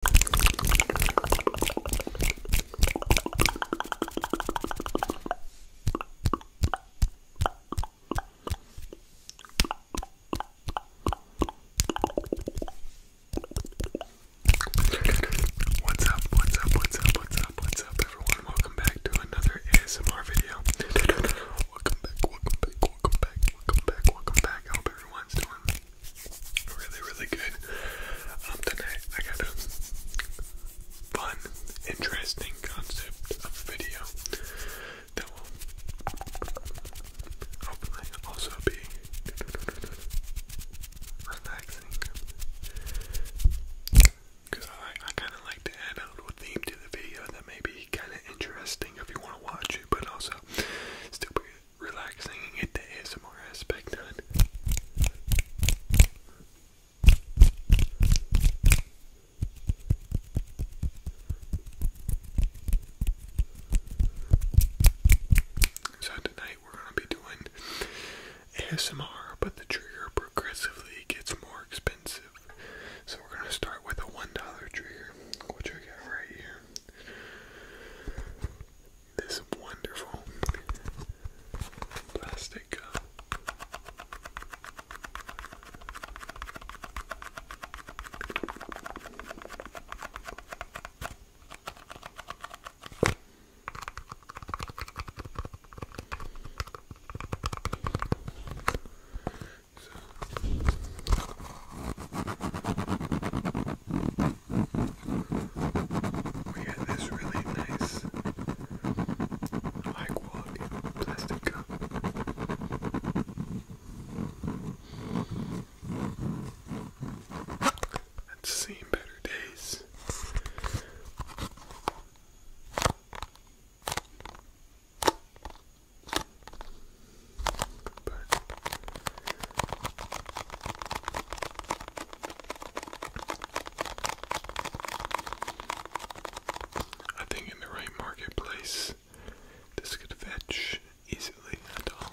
What's up? What's up? What's up? What's up? What's up, everyone? Welcome back to another ASMR video. welcome back, welcome back, welcome back, welcome back, welcome back. I hope everyone's doing Really, really good. Um, tonight I got a fun, interesting concept of video that will hopefully also be relaxing. I, kind of like to add a little theme to the video that may be kind of interesting if you want to watch it, but also still relaxing and get the ASMR aspect done. So tonight we're gonna be doing ASMR, but the trigger progressively gets more expensive. So we're gonna start with a one dollar trigger, which I got right here this wonderful plastic uh, we had this really nice high quality plastic cup. I've seen better days. But I think in the right marketplace, this could fetch easily a dollar.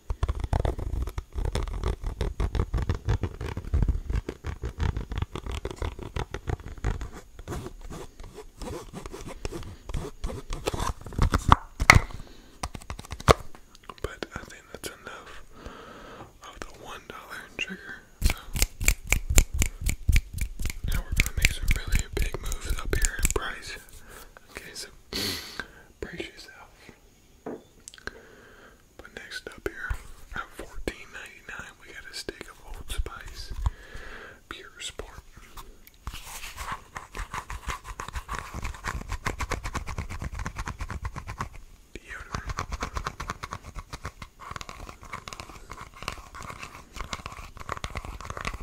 But I think that's enough of the $1 trigger. So now we're going to make some really big moves up here in price. Okay, so brace yourself. But next up here, at fourteen ninety nine, we got a stick of Old Spice Pure Sport. Deodorant.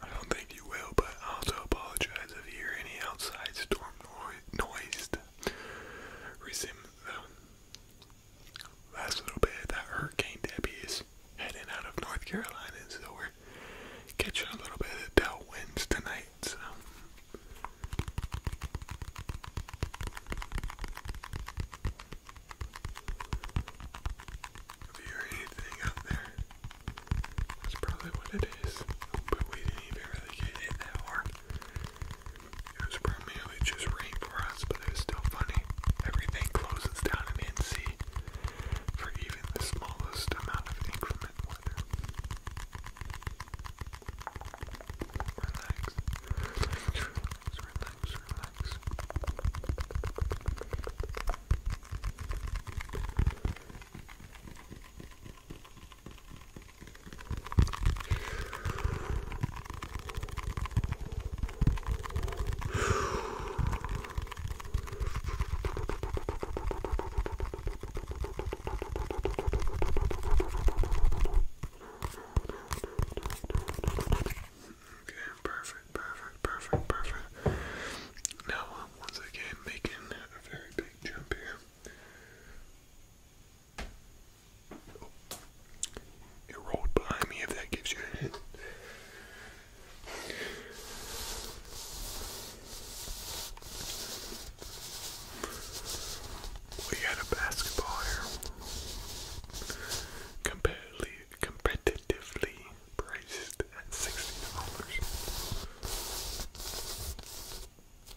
I don't think you will, but I also apologize if you hear any outside storm noise resume the last little bit of that Hurricane Debbie is heading out of North Carolina, and so we're catching a little bit of the winds tonight. So. If you hear anything out there, that's probably what it is. But we didn't even really get hit that it was primarily just rain for us, but it was still funny. Everything closes down in NC for even the smallest amount of inclement weather. relax, relax, relax. Okay, perfect, perfect, perfect, perfect. Now I'm once again making a very big jump here. It rolled behind me if that gives you a hint. We had a basketball here. Competitively, competitively priced at $60.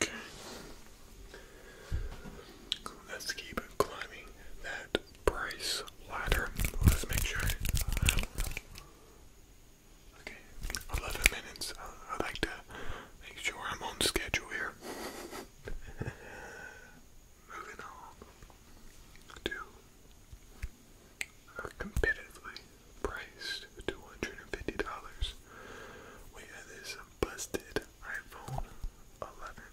Okay. Let's keep climbing that price ladder. Let's make sure. Okay, 11 minutes. Uh, I like to make sure I'm on schedule here. Moving on to are uh, competitively priced $250. We have this busted iPhone 11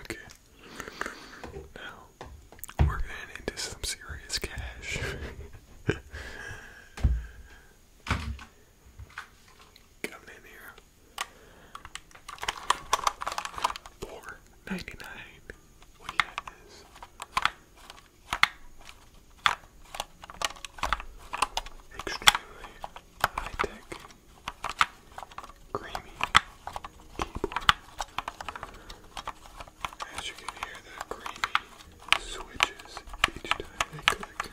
Okay. Now we're into some serious cash. Come in here. Four ninety nine. What do Extremely high tech, creamy keyboard. As you can hear, the creamy switches each time they click.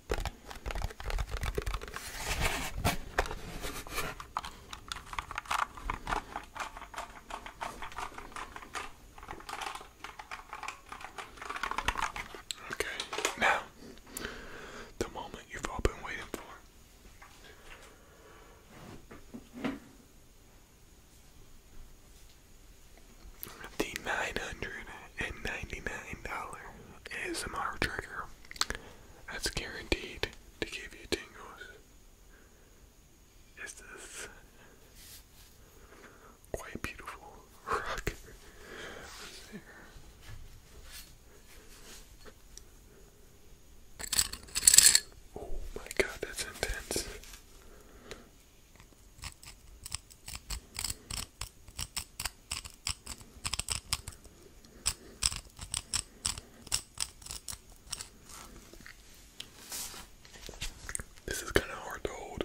Okay, now the moment you've all been waiting for. The nine hundred and ninety nine dollar ASMR trigger that's guaranteed to give you tingles. Is this quite beautiful rock? Oh my god, that's intense. This is kind of hard to hold.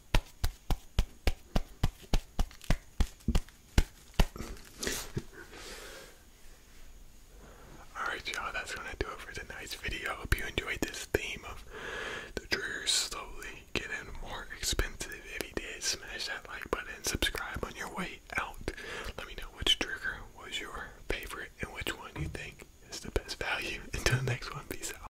Alright, y'all, that's gonna do it for tonight's video. Hope you enjoyed this theme of the triggers slowly getting more expensive. If you did, smash that like button, and subscribe on your way out. Let me know which trigger was your favorite and which one you think is the best value. Until the next one, peace out.